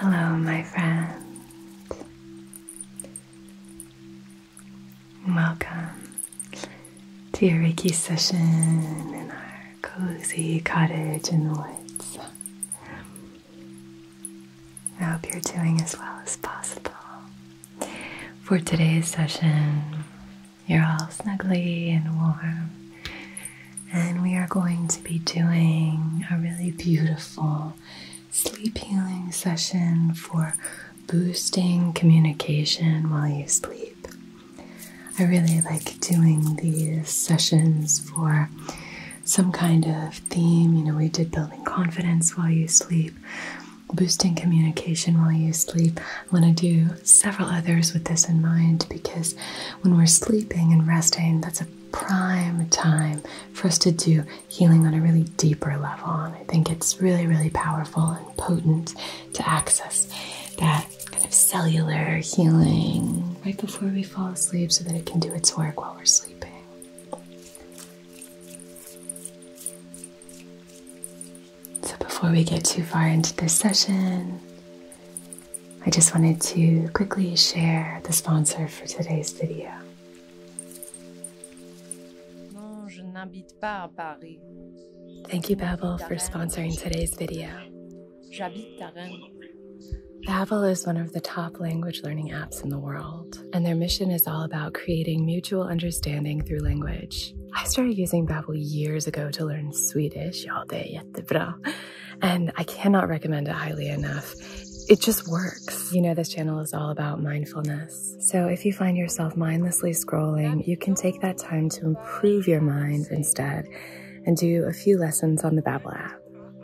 Hello, my friends. Welcome to your Reiki session in our cozy cottage in the woods. I hope you're doing as well as possible. For today's session, you're all snuggly and warm. And we are going to be doing a really beautiful sleep healing session for boosting communication while you sleep. I really like doing these sessions for some kind of theme. You know, we did building confidence while you sleep, boosting communication while you sleep. I'm going to do several others with this in mind because when we're sleeping and resting, that's a prime time for us to do healing on a really deeper level. And I think it's really, really powerful and potent to access that kind of cellular healing right before we fall asleep so that it can do its work while we're sleeping. So, before we get too far into this session, I just wanted to quickly share the sponsor for today's video. Thank you, Babel, for sponsoring today's video. Babbel is one of the top language learning apps in the world, and their mission is all about creating mutual understanding through language. I started using Babbel years ago to learn Swedish. Ja, det är jättebra. And I cannot recommend it highly enough. It just works. You know, this channel is all about mindfulness. So if you find yourself mindlessly scrolling, you can take that time to improve your mind instead and do a few lessons on the Babbel app.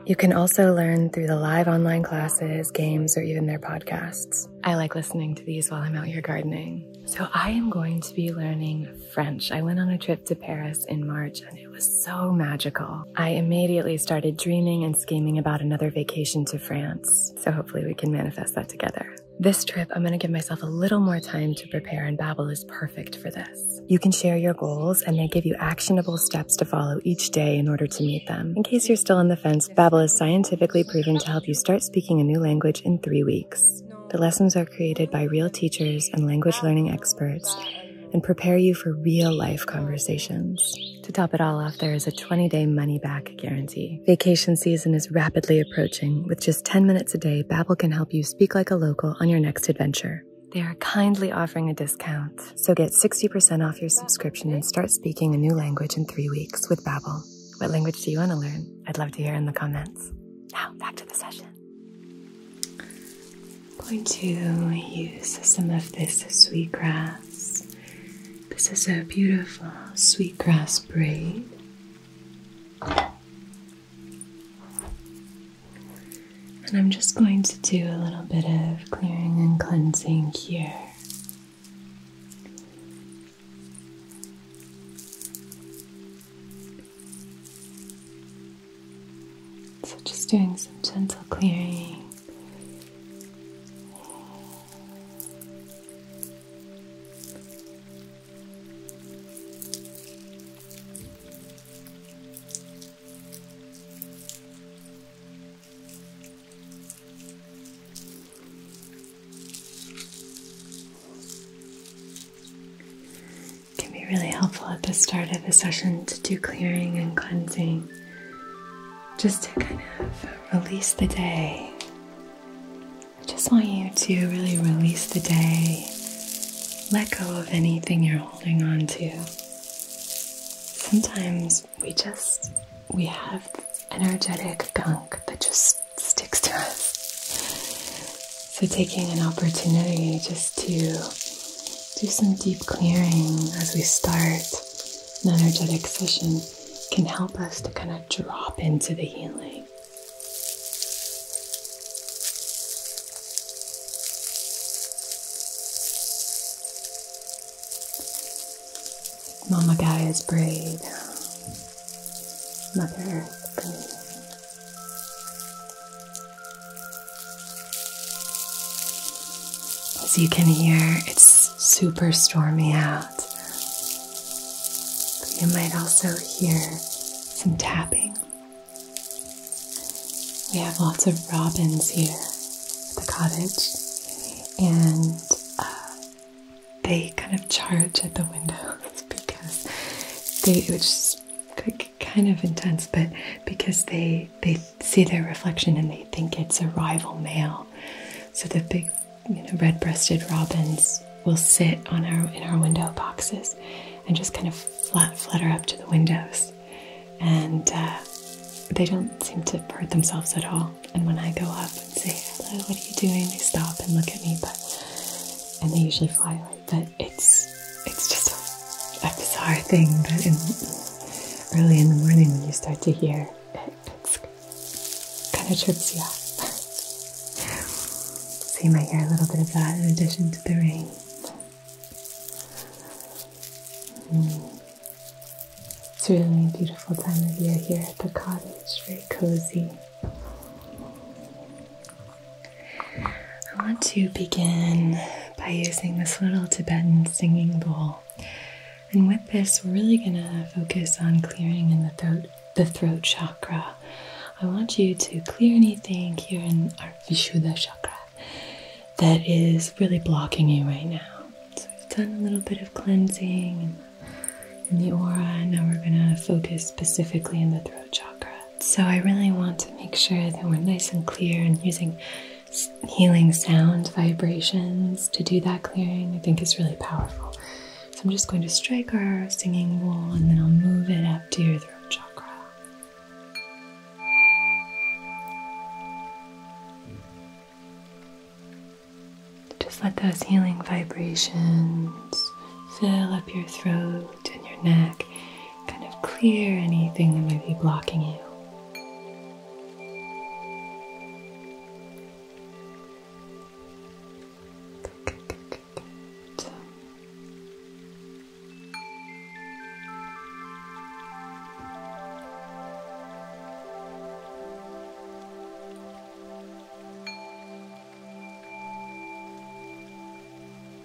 You can also learn through the live online classes, games, or even their podcasts. I like listening to these while I'm out here gardening. So I am going to be learning French. I went on a trip to Paris in March and it was so magical. I immediately started dreaming and scheming about another vacation to France. So hopefully we can manifest that together. This trip, I'm going to give myself a little more time to prepare, and Babbel is perfect for this. You can share your goals, and they give you actionable steps to follow each day in order to meet them. In case you're still on the fence, Babbel is scientifically proven to help you start speaking a new language in three weeks. The lessons are created by real teachers and language learning experts and prepare you for real life conversations. To top it all off, there is a 20 day money back guarantee. Vacation season is rapidly approaching. With just 10 minutes a day, Babel can help you speak like a local on your next adventure. They are kindly offering a discount. So get 60% off your subscription and start speaking a new language in three weeks with Babel. What language do you want to learn? I'd love to hear in the comments. Now, back to the session. I'm going to use some of this sweetgrass. This is a beautiful sweetgrass braid. And I'm just going to do a little bit of clearing and cleansing here. So, just doing some gentle clearing can be really helpful at the start of a session to do clearing and cleansing just to kind of release the day. I just want you to really release the day, let go of anything you're holding on to. Sometimes we just we have energetic gunk that just sticks to us. So, taking an opportunity just to do some deep clearing as we start an energetic session can help us to kind of drop into the healing. Mama Gaia's is Mother Earth brave. As you can hear, it's super stormy out. you might also hear some tapping. We have lots of robins here at the cottage, and uh, they kind of charge at the windows because they, just. is kind of intense, but because they they see their reflection and they think it's a rival male. So the big, you know, red-breasted robins will sit on our in our window boxes and just kind of flat flutter up to the windows, and uh, they don't seem to hurt themselves at all. And when I go up and say hello, what are you doing? They stop and look at me, but and they usually fly away. But it's it's just a, bizarre thing that early in the morning when you start to hear it, it kind of trips you out. so you might hear a little bit of that in addition to the rain. Mm. It's really a beautiful time of year here at the cottage, very cozy. I want to begin by using this little Tibetan singing bowl. And with this, we're really going to focus on clearing in the throat, the throat chakra. I want you to clear anything here in our Vishuddha chakra that is really blocking you right now. So we've done a little bit of cleansing in the aura, and now we're going to focus specifically in the throat chakra. So I really want to make sure that we're nice and clear and using healing sound vibrations to do that clearing. I think is really powerful. So I'm just going to strike our singing bowl and then I'll move it up to your throat chakra. Just let those healing vibrations fill up your throat and your neck kind of clear anything that might be blocking you.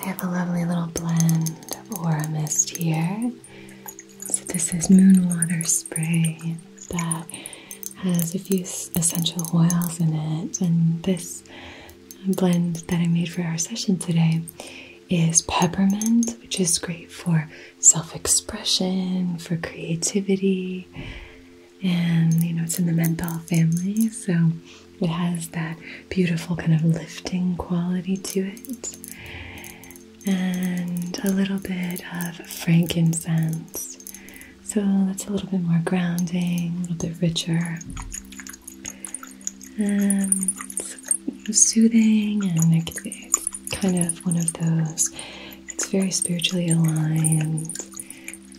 I have a lovely little blend or a mist here. So this is moon water spray that has a few essential oils in it, and this blend that I made for our session today is peppermint, which is great for self-expression, for creativity, and you know it's in the menthol family, so it has that beautiful kind of lifting quality to it. And a little bit of frankincense. So that's a little bit more grounding, a little bit richer. And um, soothing and kind of one of those. It's very spiritually aligned.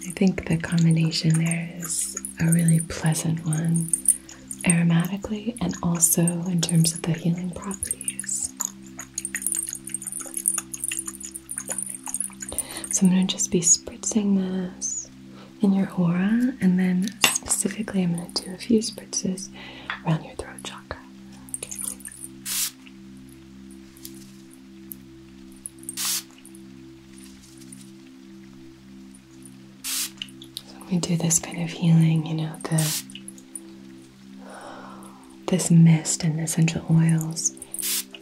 I think the combination there is a really pleasant one aromatically and also in terms of the healing properties. So I'm going to just be spritzing this in your aura, and then specifically, I'm going to do a few spritzes around your throat chakra. When we do this kind of healing, you know, the this mist and essential oils,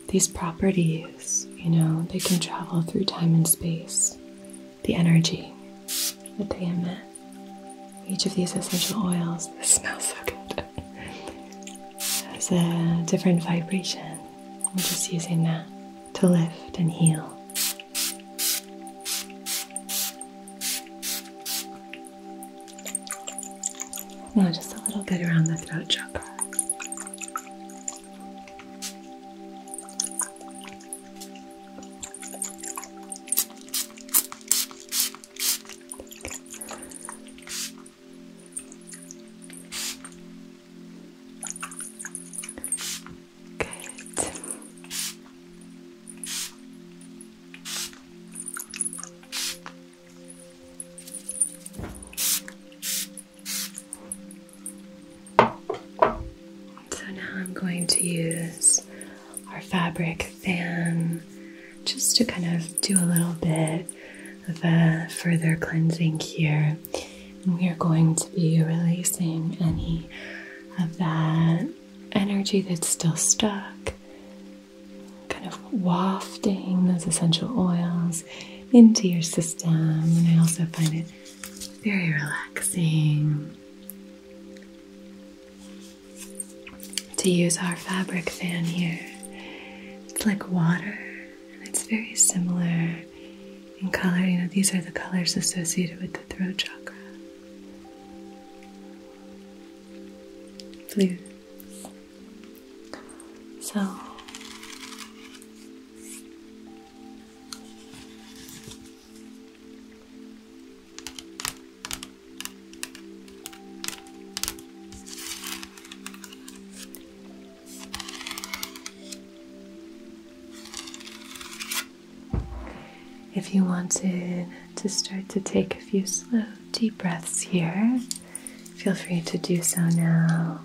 these properties, you know, they can travel through time and space. The energy that they emit. Each of these essential oils, smells so good. has a different vibration. I'm just using that to lift and heal. Now, just a little bit around the throat chakra. Good. So now I'm going to use our fabric fan just to kind of do a little bit of a further cleansing here. And we are going to be releasing any of that energy that's still stuck, kind of wafting those essential oils into your system. And I also find it very relaxing to use our fabric fan here. It's like water, and it's very similar in color. You know, these are the colors associated with the throat chakra blue. So if you wanted to start to take a few slow, deep breaths here, feel free to do so now.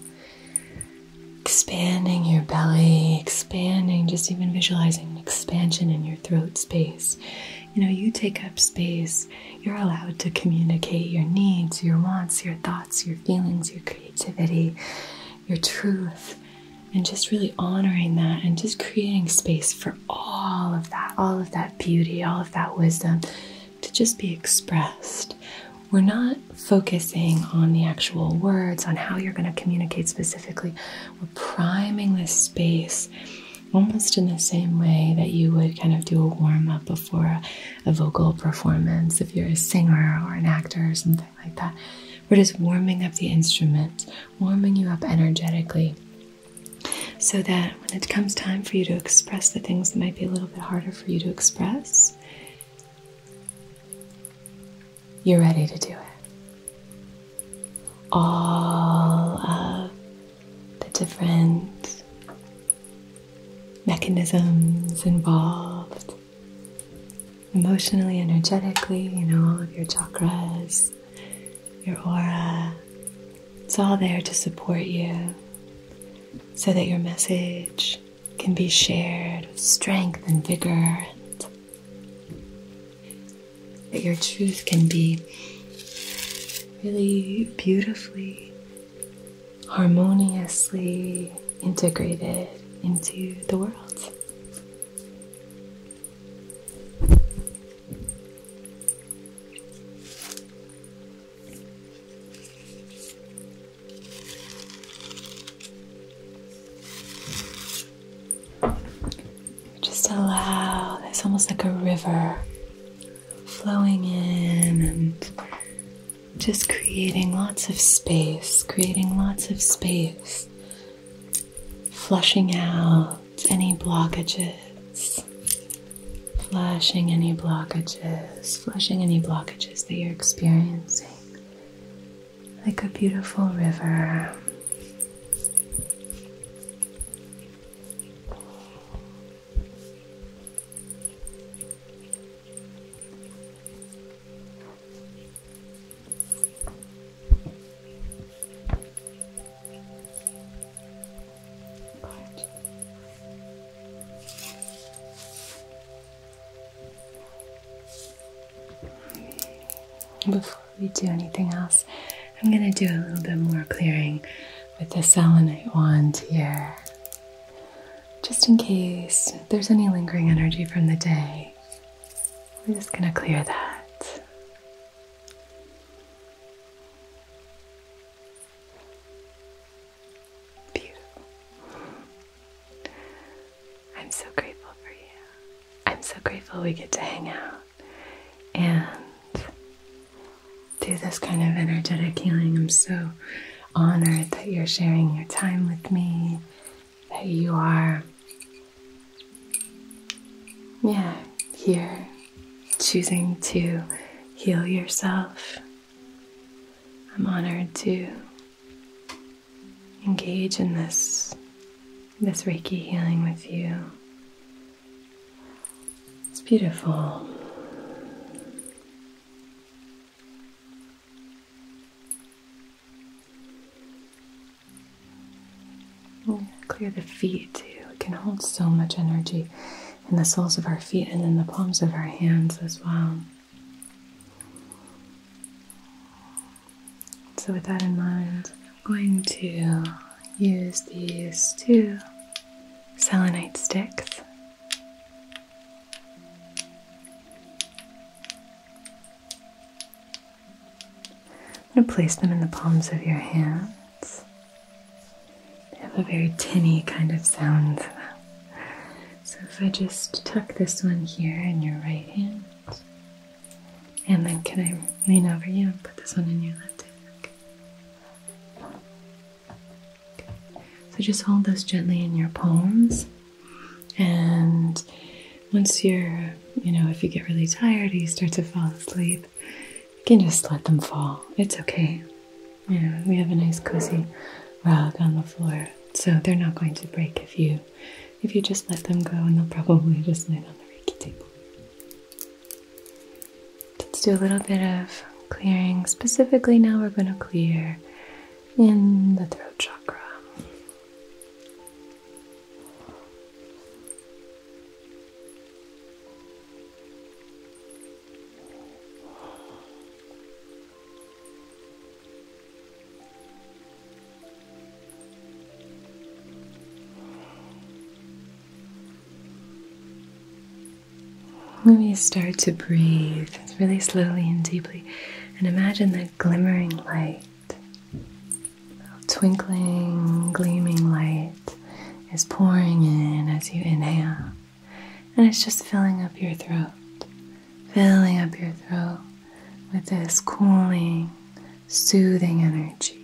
Expanding your belly, expanding, just even visualizing expansion in your throat space. You know, you take up space, you're allowed to communicate your needs, your wants, your thoughts, your feelings, your creativity your truth, and just really honoring that and just creating space for all of that, all of that beauty, all of that wisdom to just be expressed. We're not focusing on the actual words, on how you're going to communicate specifically. We're priming this space almost in the same way that you would kind of do a warm up before a, a, vocal performance if you're a singer or an actor or something like that. We're just warming up the instrument warming you up energetically so that when it comes time for you to express the things that might be a little bit harder for you to express, you're ready to do it. All of the different mechanisms involved emotionally, energetically, you know, all of your chakras, your aura. It's all there to support you so that your message can be shared with strength and vigor, and that your truth can be really beautifully, harmoniously integrated into the world. Just allow, It's almost like a river flowing in and just creating lots of space, creating lots of space flushing out any blockages, flushing any blockages, flushing any blockages that you're experiencing like a beautiful river. Before we do anything else, I'm going to do a little bit more clearing with the selenite wand here. Just in case there's any lingering energy from the day, we're just going to clear that. Beautiful. I'm so grateful for you. I'm so grateful we get to hang out and do this kind of energetic healing. I'm so honored that you're sharing your time with me, that you are yeah, here, choosing to heal yourself. I'm honored to engage in this this Reiki healing with you. It's beautiful. Clear the feet too. It can hold so much energy in the soles of our feet and in the palms of our hands as well. So, with that in mind, I'm going to use these two selenite sticks. I'm going to place them in the palms of your hands. They have a very tinny kind of sound to them. So if I just tuck this one here in your right hand, and then can I lean over you and put this one in your left hand? Okay. So just hold those gently in your palms and once you're, you know, if you get really tired or you start to fall asleep, you can just let them fall. It's okay. we have a nice cozy rug on the floor, so they're not going to break if you if you just let them go, and they'll probably just land on the reiki table. Let's do a little bit of clearing. Specifically, now we're going to clear in the throat chakra. Let me start to breathe really slowly and deeply and imagine that glimmering light twinkling, gleaming light is pouring in as you inhale, and it's just filling up your throat, filling up your throat with this cooling, soothing energy.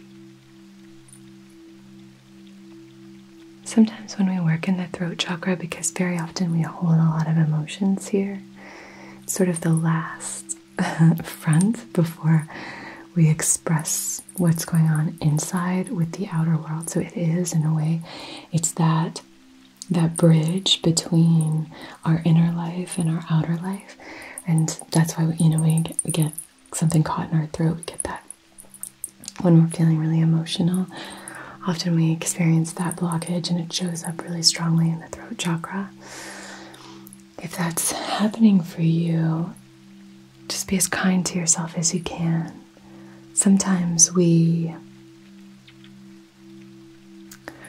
Sometimes when we work in the throat chakra, because very often we hold a lot of emotions here, sort of the last front before we express what's going on inside with the outer world. So it is, in a way, it's that that bridge between our inner life and our outer life, and that's why you know we get something caught in our throat. We get that when we're feeling really emotional. Often we experience that blockage, and it shows up really strongly in the throat chakra. If that's happening for you, just be as kind to yourself as you can. Sometimes we,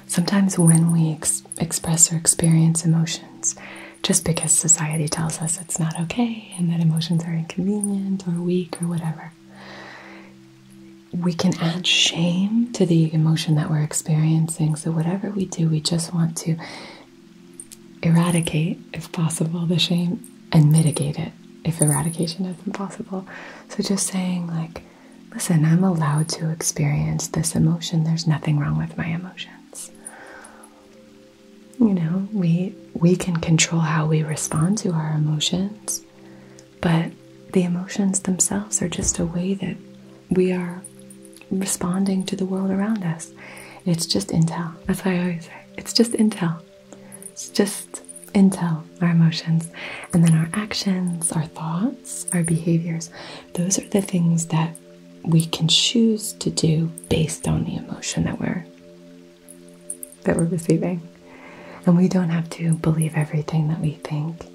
sometimes when we express or experience emotions, just because society tells us it's not okay and that emotions are inconvenient or weak or whatever, we can add shame to the emotion that we're experiencing. So, whatever we do, we just want to eradicate, if possible, the shame and mitigate it if eradication isn't possible. So just saying, like, listen, I'm allowed to experience this emotion. There's nothing wrong with my emotions. You know, we we can control how we respond to our emotions, but the emotions themselves are just a way that we are responding to the world around us. It's just intel. That's why I always say it's just intel. It's just intel, our emotions. And then our actions, our thoughts, our behaviors. Those are the things that we can choose to do based on the emotion that we're that we're receiving. And we don't have to believe everything that we think.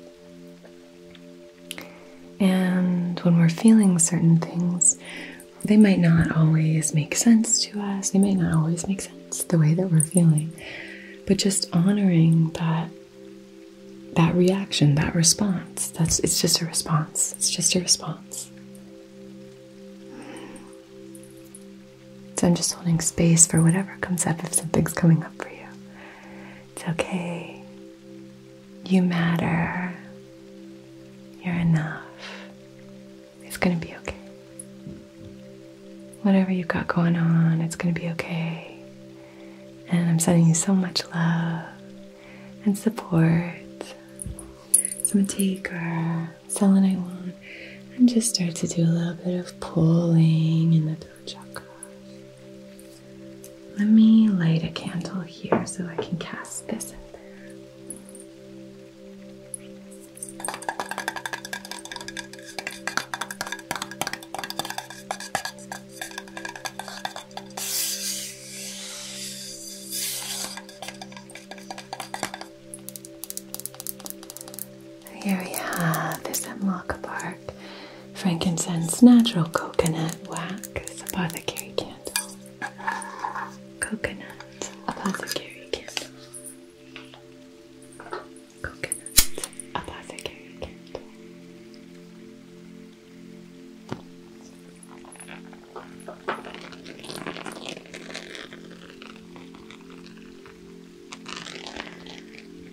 And when we're feeling certain things, they might not always make sense to us, they might not always make sense the way that we're feeling, but just honoring that that reaction, that response. That's it's just a response. It's just a response. So I'm just holding space for whatever comes up if something's coming up for you. It's okay. You matter. You're enough. It's going to be okay. Whatever you've got going on, it's going to be okay. And I'm sending you so much love and support. So I'm going to take our selenite wand and just start to do a little bit of pulling in the throat chakra. Let me light a candle here so I can cast this in there. Here we have this Hemlock Park frankincense natural coconut wax apothecary candle. Coconut Apothecary Kit. Coconut Apothecary Kit.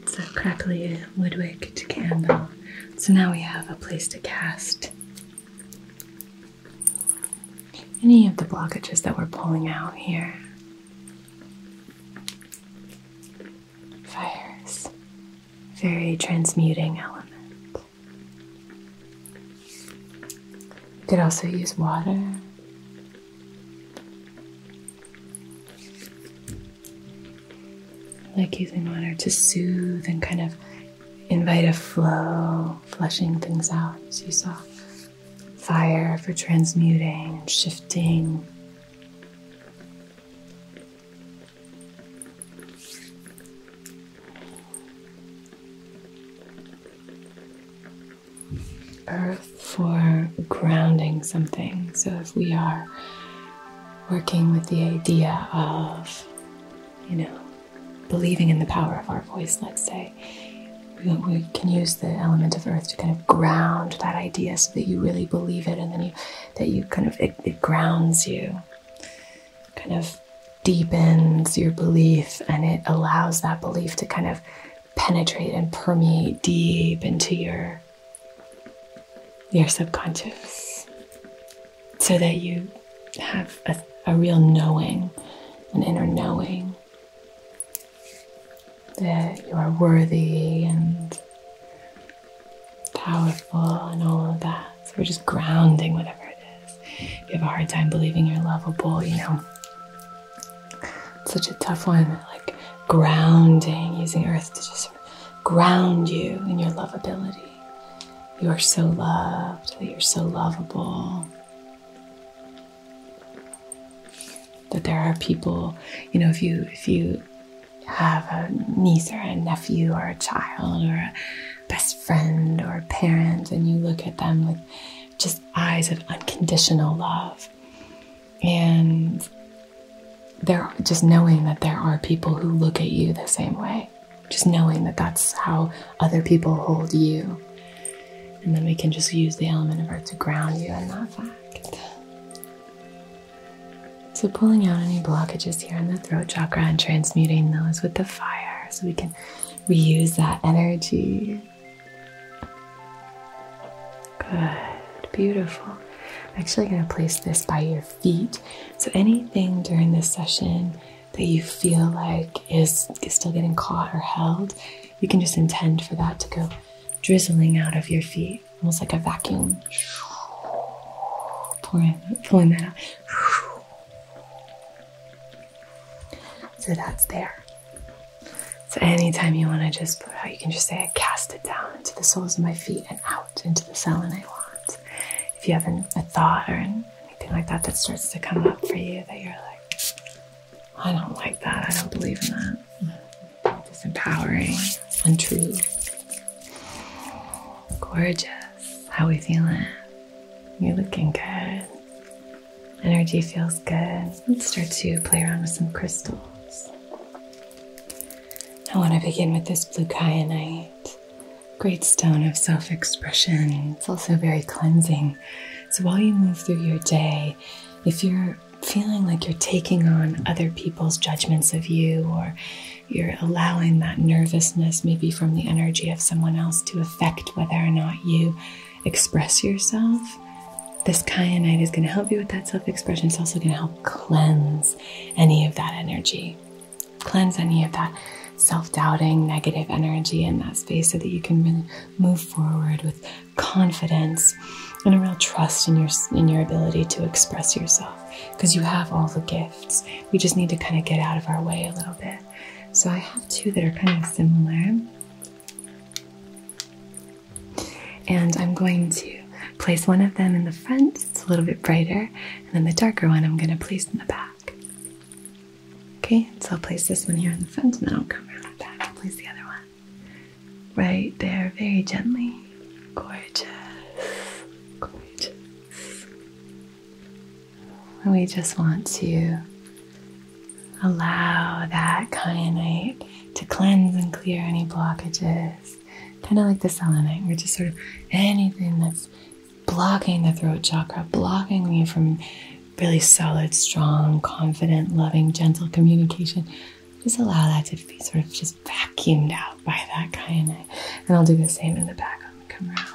It's a crackly woodwick candle. So now we have a place to cast any of the blockages that we're pulling out here. Fire's very transmuting element. You could also use water. like using water to soothe and kind of Invite a flow, flushing things out as you saw. Fire for transmuting and shifting. Earth for grounding something. So if we are working with the idea of you know, believing in the power of our voice, let's say, we, can use the element of earth to kind of ground that idea so that you really believe it and then you, that you kind of, it grounds you, kind of deepens your belief and it allows that belief to kind of penetrate and permeate deep into your your subconscious so that you have a, real knowing, an inner knowing that you are worthy and powerful and all of that. So we're just grounding whatever it is. you have a hard time believing you're lovable, you know. such a tough one, like grounding, using earth to just ground you in your lovability you are so loved, that you're so lovable. That there are people, you know, if you if you have a niece or a nephew or a child or a best friend or a parent, and you look at them with just eyes of unconditional love, and there just knowing that there are people who look at you the same way just knowing that that's how other people hold you. And then we can just use the element of earth to ground you in that fact. So, pulling out any blockages here in the throat chakra and transmuting those with the fire so we can reuse that energy. Good, beautiful. I'm actually going to place this by your feet. So, anything during this session that you feel like is, still getting caught or held, you can just intend for that to go drizzling out of your feet, almost like a vacuum. pulling that out. So that's there. So anytime you want to just put out, you can just say, I cast it down into the soles of my feet and out into the cell and I want if you have a thought or anything like that that starts to come up for you that you're like, I don't like that, I don't believe in that, It's mm-hmm. disempowering, untrue, gorgeous. How we feeling? You're looking good. Energy feels good. Let's start to play around with some crystals. I want to begin with this blue kyanite. Great stone of self expression. It's also very cleansing. So while you move through your day, if you're feeling like you're taking on other people's judgments of you, or you're allowing that nervousness, maybe from the energy of someone else, to affect whether or not you express yourself, this kyanite is going to help you with that self expression. It's also going to help cleanse any of that energy, cleanse any of that self doubting, negative energy in that space so that you can really move forward with confidence and a real trust in your, in your ability to express yourself because you have all the gifts. We just need to kind of get out of our way a little bit. So I have two that are kind of similar. And I'm going to place one of them in the front, it's a little bit brighter, and then the darker one I'm going to place in the back. Okay, so I'll place this one here in the front and then I'll come around back and place the other one. Right there, very gently. Gorgeous. Gorgeous. we just want to allow that kyanite to cleanse and clear any blockages. Kind of like the selenite, we're just sort of anything that's blocking the throat chakra, blocking me from really solid, strong, confident, loving, gentle communication. Just allow that to be sort of just vacuumed out by that guy, And I'll do the same in the back. I'll come around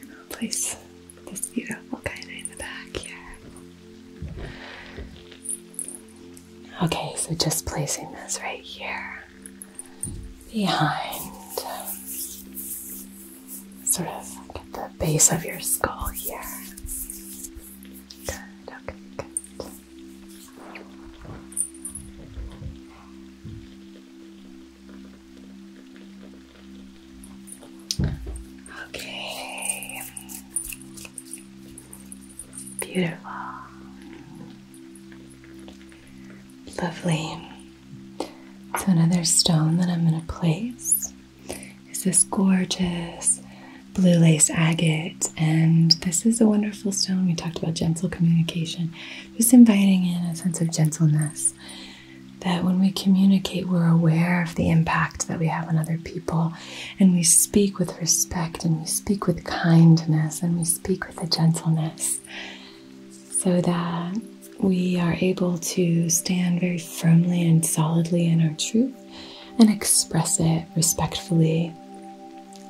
and i this beautiful kyanite in the back here. Okay, so just placing this right here behind sort of get the base of your skull here. Good, okay, good. Okay. Beautiful. Lovely. So, another stone that I'm going to place is this gorgeous blue lace agate. And this is a wonderful stone. We talked about gentle communication, just inviting in a sense of gentleness. That when we communicate, we're aware of the impact that we have on other people, and we speak with respect, and we speak with kindness, and we speak with a gentleness so that we are able to stand very firmly and solidly in our truth and express it respectfully,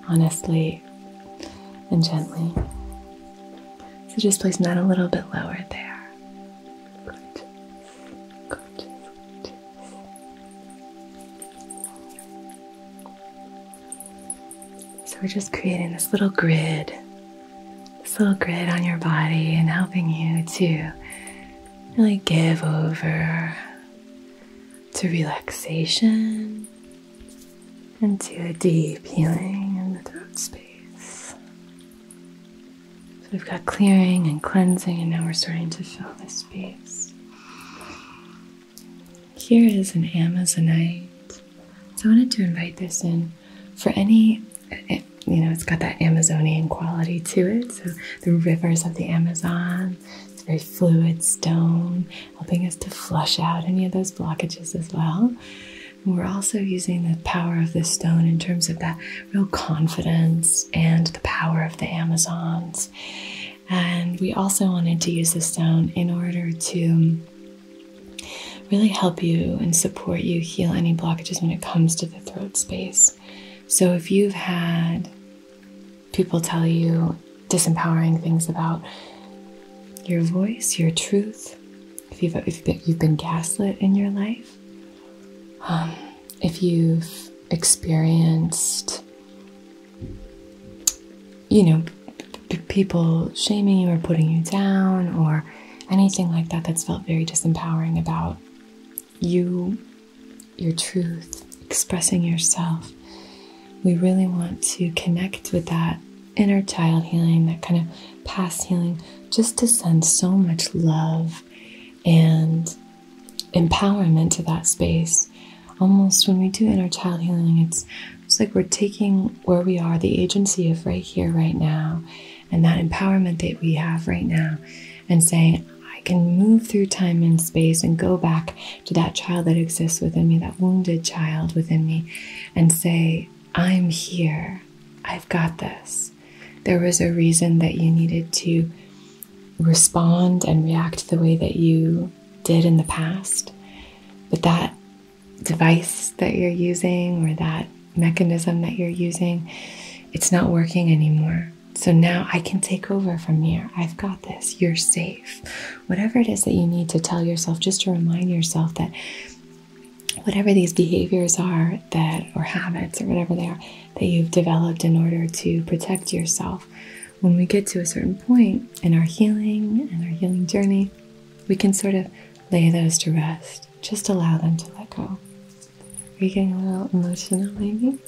honestly, and gently. So just place that a little bit lower there. So we're just creating this little grid this little grid on your body and helping you to really give over to relaxation and to a deep healing in the throat space. So we've got clearing and cleansing, and now we're starting to fill this space. Here is an Amazonite. So I wanted to invite this in for any you know, it's got that Amazonian quality to it. So the rivers of the Amazon, it's very fluid stone, helping us to flush out any of those blockages as well. And we're also using the power of this stone in terms of that real confidence and the power of the Amazons. And we also wanted to use this stone in order to really help you and support you heal any blockages when it comes to the throat space. So if you've had people tell you disempowering things about your voice, your truth, if you've, you've been gaslit in your life, um, if you've experienced, you know, people shaming you or putting you down or anything like that that's felt very disempowering about you, your truth, expressing yourself. We really want to connect with that inner child healing, that kind of past healing, just to send so much love and empowerment to that space. Almost when we do inner child healing, it's, just like we're taking where we are, the agency of right here, right now, and that empowerment that we have right now and saying, I can move through time and space and go back to that child that exists within me, that wounded child within me, and say, I'm here. I've got this. There was a reason that you needed to respond and react the way that you did in the past. But that device that you're using or that mechanism that you're using, it's not working anymore. So now I can take over from here. I've got this. You're safe. Whatever it is that you need to tell yourself, just to remind yourself that whatever these behaviors are that or habits or whatever they are that you've developed in order to protect yourself when we get to a certain point in our healing and our healing journey we can sort of lay those to rest just allow them to let go. Are you getting a little emotional, maybe?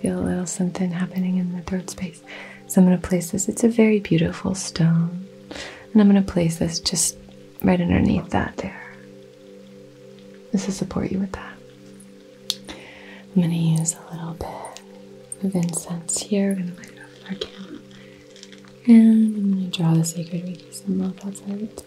Feel a little something happening in the third space. So I'm going to place this. It's a very beautiful stone. And I'm going to place this just right underneath that there. This will support you with that. I'm going to use a little bit of incense here. We're going to light it up our candle. And I'm going to draw the sacred Reiki symbol. That's it.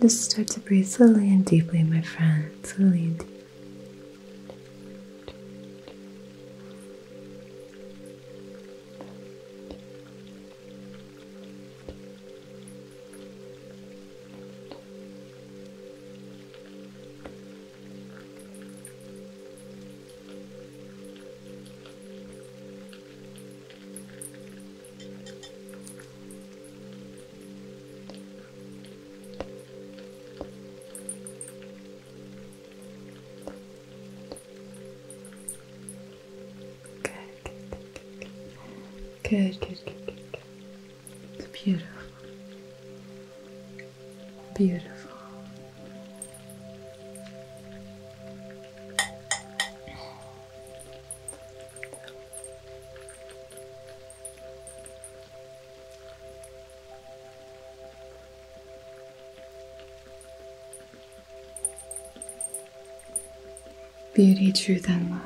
Just start to breathe slowly and deeply, my friend. Slowly deeply. Good, good, good, good, good, good. Beautiful. Beautiful. Beauty, truth, and love.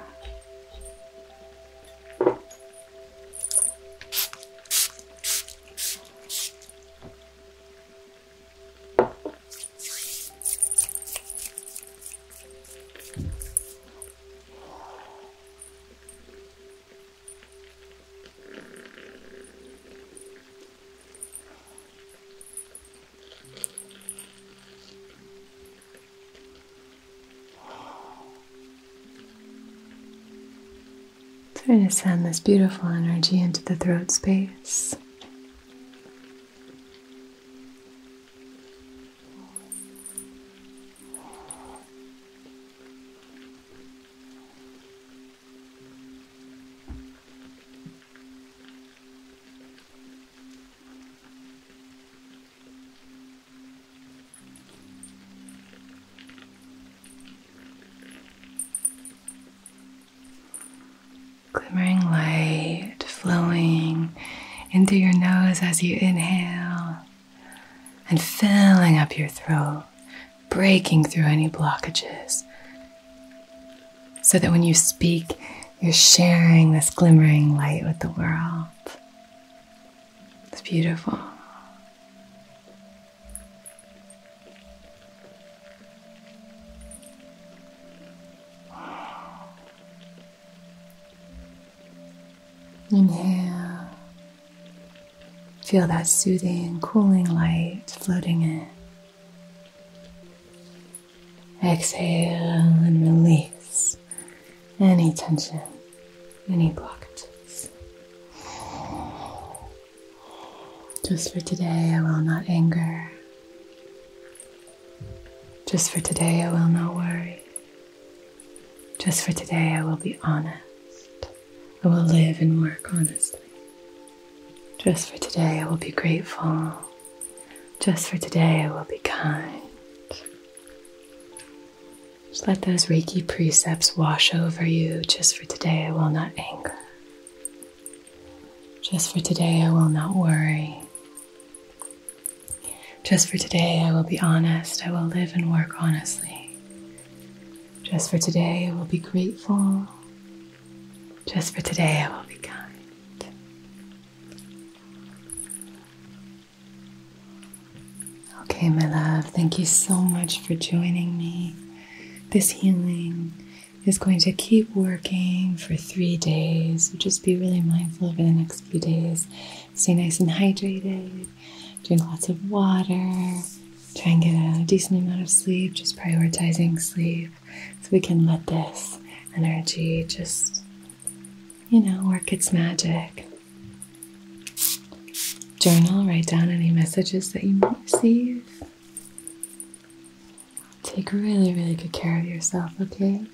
Trying to send this beautiful energy into the throat space. Glimmering light flowing into your nose as you inhale and filling up your throat, breaking through any blockages. So that when you speak, you're sharing this glimmering light with the world. It's beautiful. Inhale. Feel that soothing, cooling light floating in. Exhale and release any tension, any blockages. Just for today, I will not anger. Just for today, I will not worry. Just for today, I will be honest. I will live and work honestly. Just for today, I will be grateful. Just for today, I will be kind. Just let those Reiki precepts wash over you. Just for today, I will not anger. Just for today, I will not worry. Just for today, I will be honest. I will live and work honestly. Just for today, I will be grateful. Just for today, I will be kind. Okay, my love, thank you so much for joining me. This healing is going to keep working for three days. So just be really mindful over the next few days. Stay nice and hydrated drink lots of water, try and get a decent amount of sleep, just prioritizing sleep so we can let this energy just, you know, work its magic. Journal, write down any messages that you might receive. Take really, really good care of yourself, okay?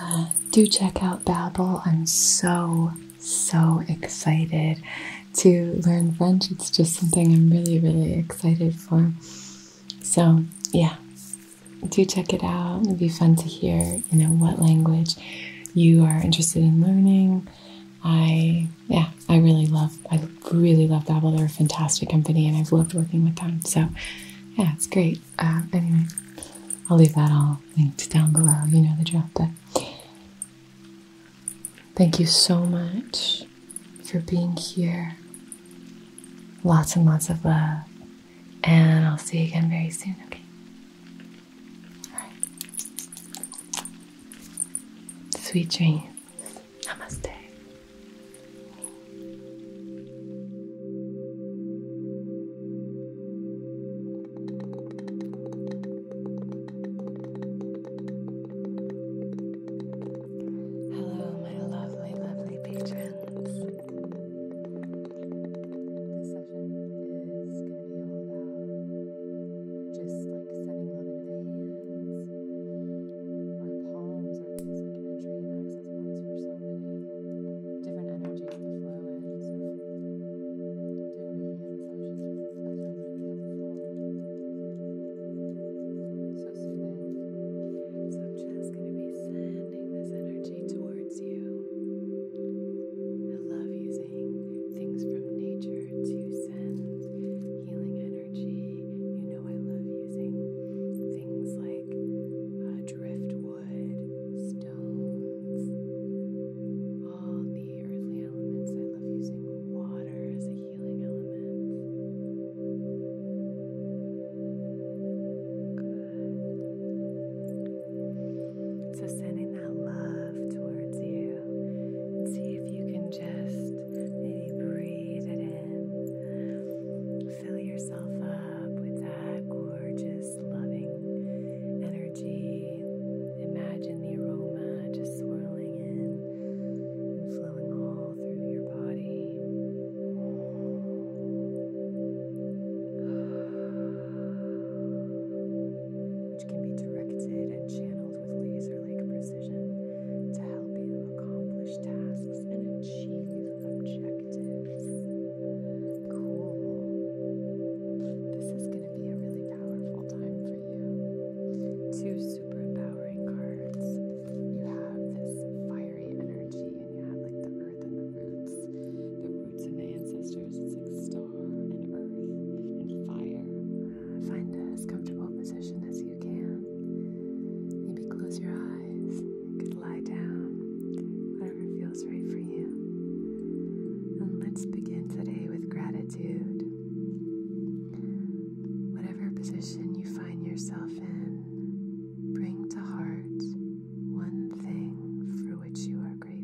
Uh, do check out Babbel. I'm so so excited to learn French. It's just something I'm really, really excited for. So, yeah, do check it out. It'd be fun to hear, you know, what language you are interested in learning. I, yeah, I really love, I really love Babel. They're a fantastic company and I've loved working with them. So, yeah, it's great. Uh, anyway, I'll leave that all linked down below. You know the drill, but thank you so much for being here. Lots and lots of love, and I'll see you again very soon, okay? Sweet dreams. Namaste. Hello, my lovely, lovely patrons. This session is going to be all about just like sending love into the hands. Our palms are these like entry and access points for so many different energies to flow in. So doing Reiki and massage I find really helpful. So So I'm just going to be sending this energy towards you. I love using things from nature to send healing energy. You know, I love using things like uh, driftwood wood, stones, all the earthly elements. I love using water as a healing element. So sending that love towards you. See if you can just maybe breathe it in. Fill yourself up with that gorgeous loving energy. Imagine the aroma just swirling in and flowing all through your body. Which can be directed and channeled with laser like precision to help you accomplish tasks and achieve objectives. Cool. This is good be a really powerful time for you. Two super empowering cards. You have this fiery energy, and you have like the earth and the roots, the roots and the ancestors. It's like star and earth and fire. Find as comfortable position as you can. Maybe close your eyes. You could lie down feels right for you. And let's begin today with gratitude. Whatever position you find yourself in, bring to heart one thing for which you are grateful.